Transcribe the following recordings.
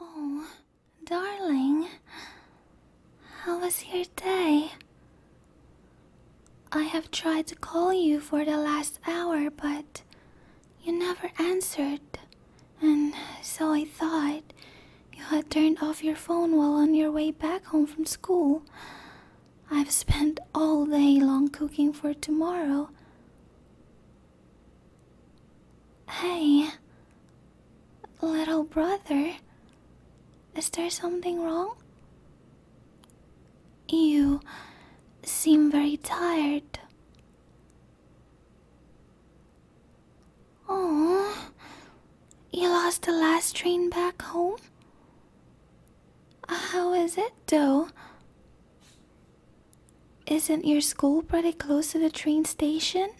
Oh, darling, how was your day? I have tried to call you for the last hour, but you never answered, and so I thought you had turned off your phone while on your way back home from school. I've spent all day long cooking for tomorrow. Hey, little brother, is there something wrong? You seem very tired. Oh, you lost the last train back home? How is it, though? Isn't your school pretty close to the train station?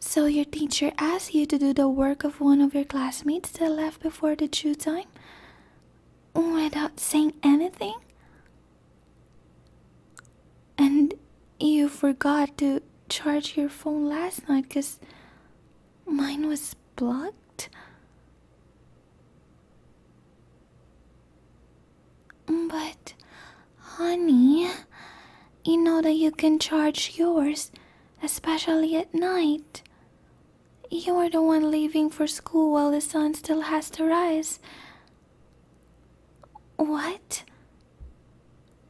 So your teacher asked you to do the work of one of your classmates that left before the due time? Without saying anything? And you forgot to charge your phone last night because mine was plugged? But, honey, you know that you can charge yours, especially at night. You're the one leaving for school while the sun still has to rise. What?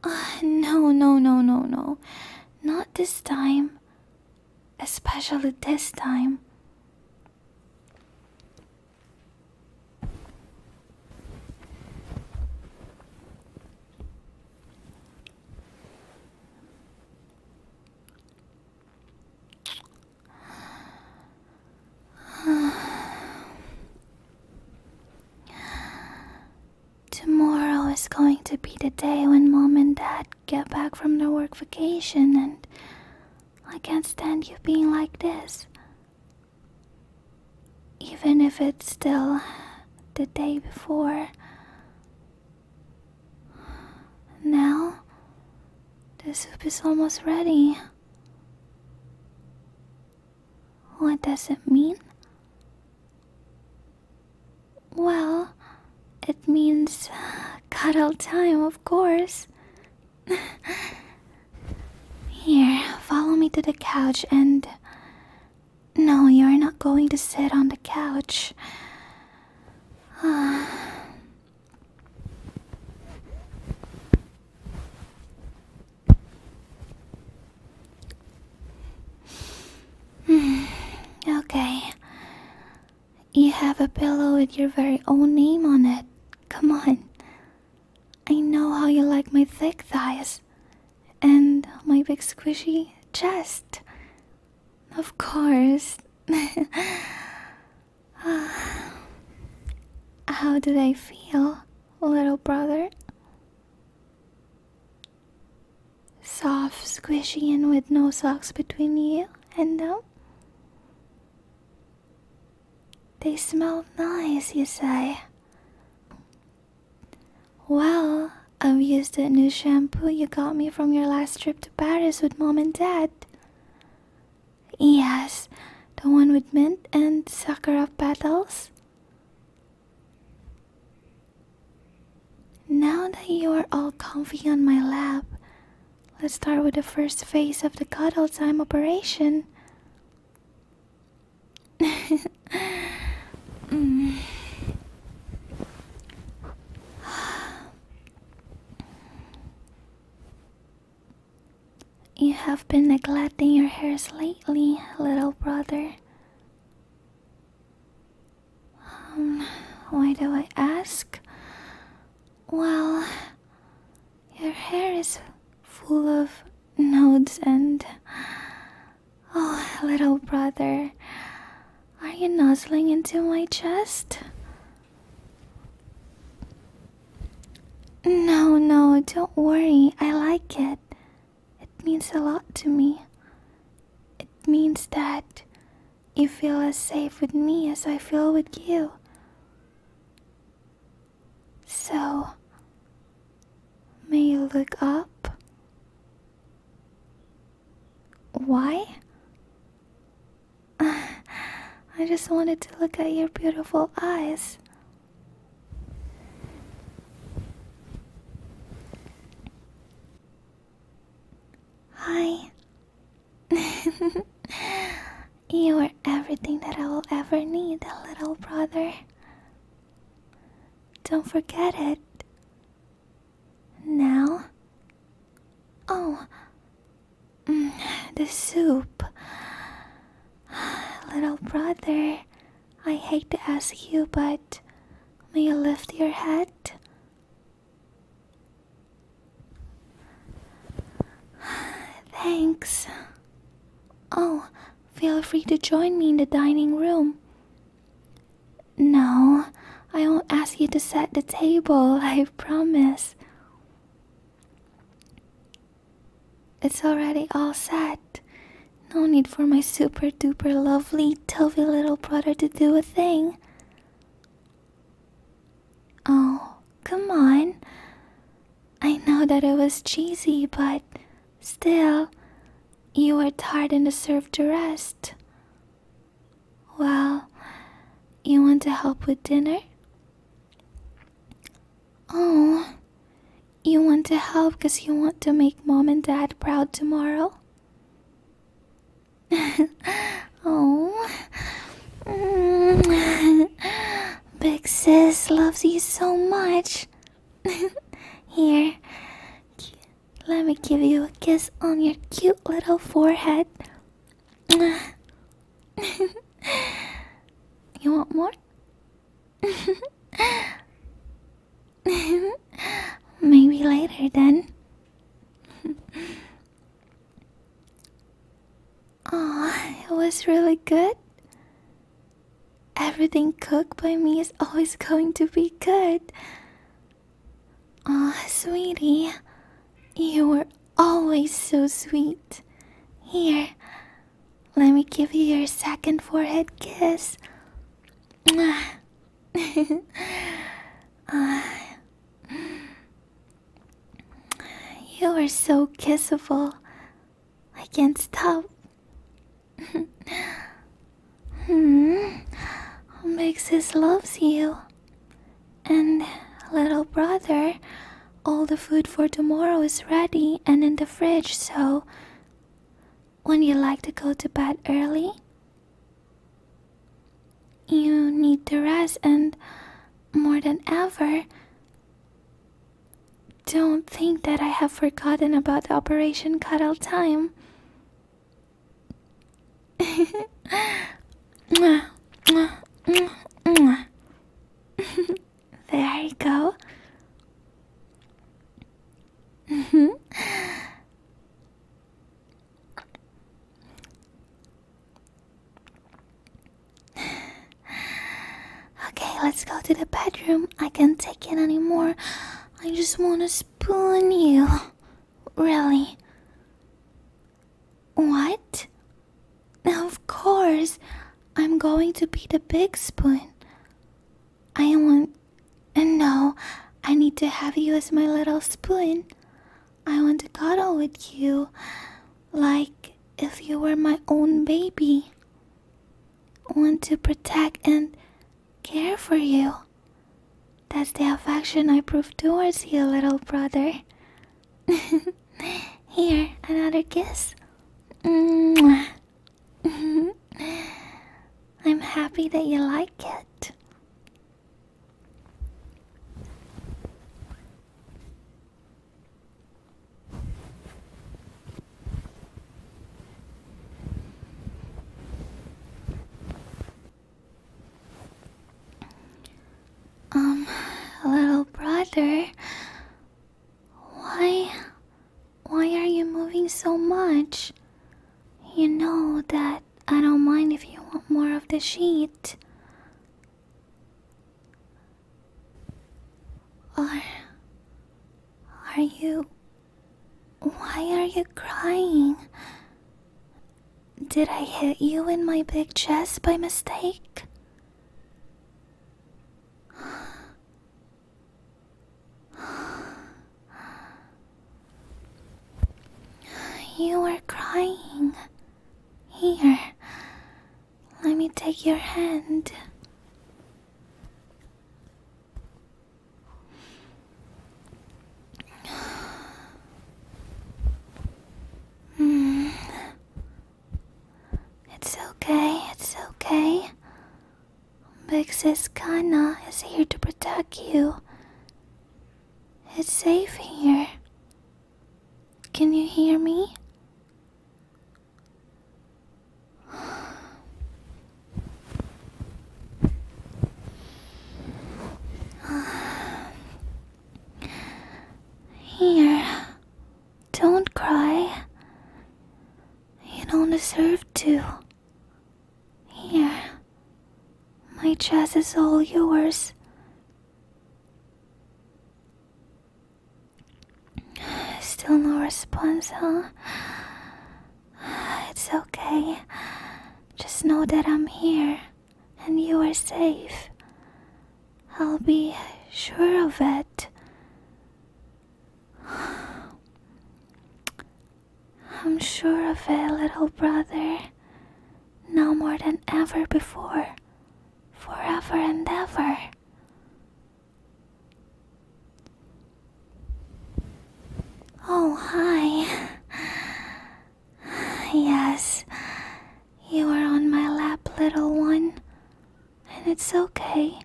Uh, no, no, no, no, no. Not this time. Especially this time. Tomorrow is going to be the day when mom and dad get back from their work vacation, and I can't stand you being like this. Even if it's still the day before. Now, the soup is almost ready. What does it mean? Well, it means uh, cuddle time, of course. Here, follow me to the couch and. No, you're not going to sit on the couch. okay. You have a pillow with your very own name on it. Come on. I know how you like my thick thighs and my big squishy chest. Of course. Ah. how do I feel, little brother? Soft, squishy, and with no socks between you and them? They smell nice, you say. Well, I've used that new shampoo you got me from your last trip to Paris with mom and dad. Yes, the one with mint and sakura petals. Now that you are all comfy on my lap, Let's start with the first phase of the cuddle time operation. You have been neglecting your hairs lately, little brother. Um, why do I ask? Well, your hair is full of nodes and. Oh, little brother, are you nuzzling into my chest? No, no, don't worry. I like it. It means a lot to me. It means that you feel as safe with me as I feel with you. So, may you look up? Why? I just wanted to look at your beautiful eyes. Hi, you are everything that I will ever need, little brother. Don't forget it. Now? Oh, mm, the soup. Little brother, I hate to ask you, but may I lift your head? Thanks. Oh, feel free to join me in the dining room. No, I won't ask you to set the table, I promise. It's already all set. No need for my super duper lovely, Toby little brother to do a thing. Oh, come on. I know that it was cheesy, but still, you were tired and served to rest. Well, you want to help with dinner? Oh, you want to help because you want to make mom and dad proud tomorrow? oh. Big sis loves you so much. Here, let me give you a kiss on your cute little forehead. you want more? Maybe later then. Oh, it was really good. Everything cooked by me is always going to be good. Ah, sweetie, you were always so sweet. Here, let me give you your second forehead kiss. uh, You are so kissable. I can't stop. hmm. Mixes loves you. And little brother, all the food for tomorrow is ready and in the fridge, so would you like to go to bed early? You need to rest and more than ever don't think that I have forgotten about Operation Cuttle Time. there you go. okay, let's go to the bedroom. I can't take it anymore. I just want to spoon you. Really? What? Of course, I'm going to be the big spoon. I want. Uh, no, I need to have you as my little spoon. I want to cuddle with you like if you were my own baby. Want to protect and care for you. That's the affection I prove towards you, little brother. Here, another kiss. I'm happy that you like it. Um, little brother, why why are you moving so much? You know that I don't mind if you want more of the sheet. Are. Are you. Why are you crying? Did I hit you in my big chest by mistake? You are crying. Here, let me take your hand. Hmm. It's okay, it's okay. Big sis Kana is here to protect you. It's safe here. Can you hear me? Here, don't cry. You don't deserve to. Here, my chest is all yours. Still no response, huh? It's okay. Just know that I'm here and you are safe. I'll be sure of it. I'm sure of it, little brother. Now more than ever before. Forever and ever. Oh, hi. Yes, you are on my lap, little one. And it's okay.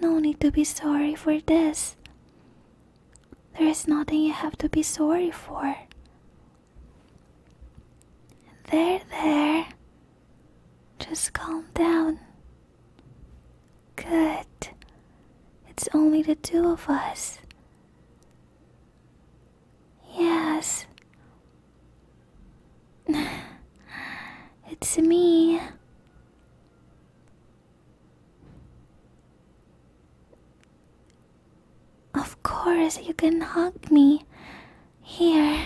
No need to be sorry for this. There is nothing you have to be sorry for. There, there. Just calm down. Good. It's only the two of us. Yes. it's me. Of course, you can hug me. Here.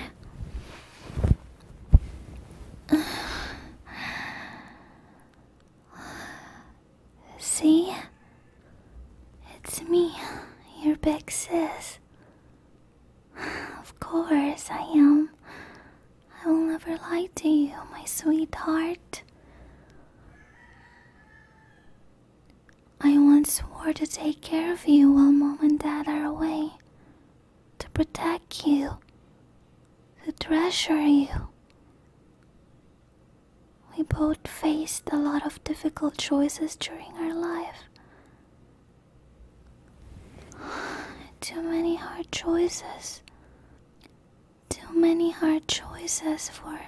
See? It's me, your big sis. Of course I am. I will never lie to you, my sweetheart. I once swore to take care of you while mom and dad are away to protect you, to treasure you. We both faced a lot of difficult choices during our life. Too many hard choices. Too many hard choices for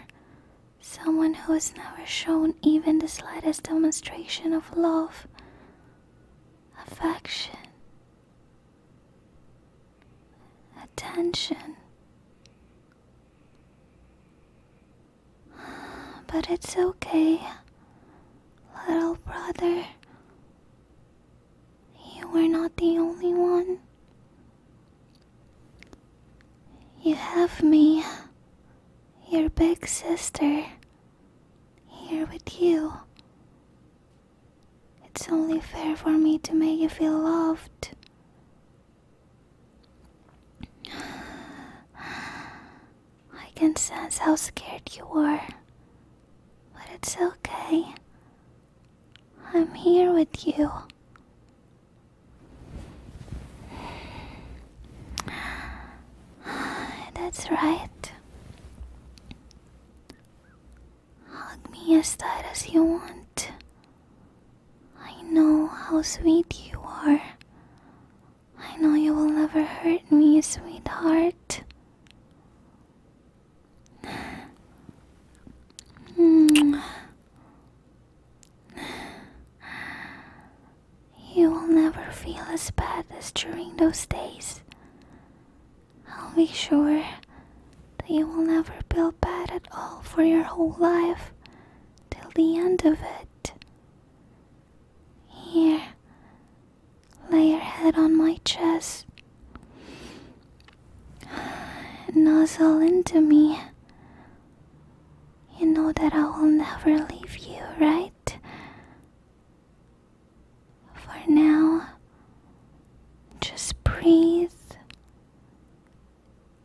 someone who has never shown even the slightest demonstration of love affection, attention. But it's okay, little brother. You were not the only one. You have me, your big sister here with you. It's only fair for me to make you feel loved. I can sense how scared you are, but it's okay. I'm here with you. That's right. Hug me as tight as you want. I know how sweet you are. I know you will never hurt me, sweetheart. You will never feel as bad as during those days I'll be sure that you will never feel bad at all for your whole life till the end of it. Here, lay your head on my chest. Nozzle into me. You know that I will never leave you, right? For now, just breathe.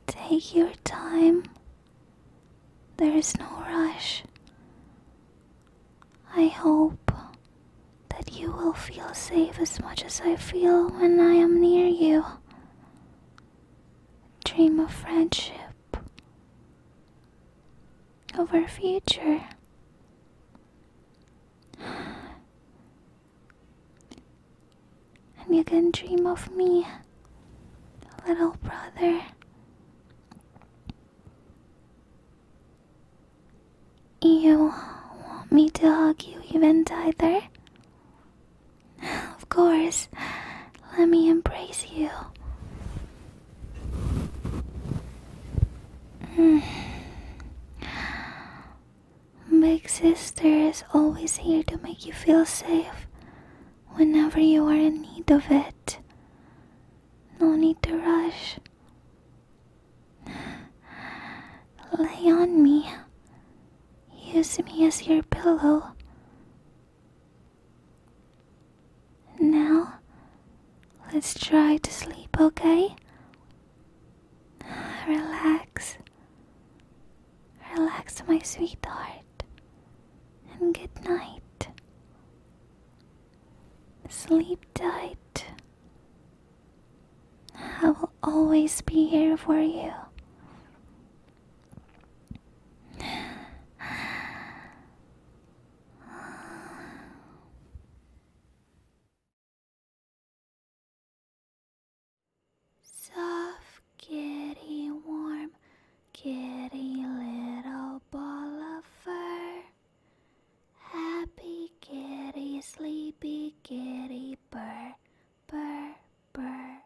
Take your time. There is no rush. I hope that you will feel safe as much as I feel when I am near you. Dream of friendship of our future. And you can dream of me, little brother. You want me to hug you even tighter? Of course, let me embrace you. Big Sister is always here to make you feel safe whenever you are in need of it. No need to rush. Lay on me. Use me as your pillow. Now, let's try to sleep, okay? Relax. Relax, my sweetheart. And good night. Sleep tight. I will always be here for you. Soft, kitty, warm, kitty, little ball of fur. Happy kitty, sleepy kitty, purr, purr, purr.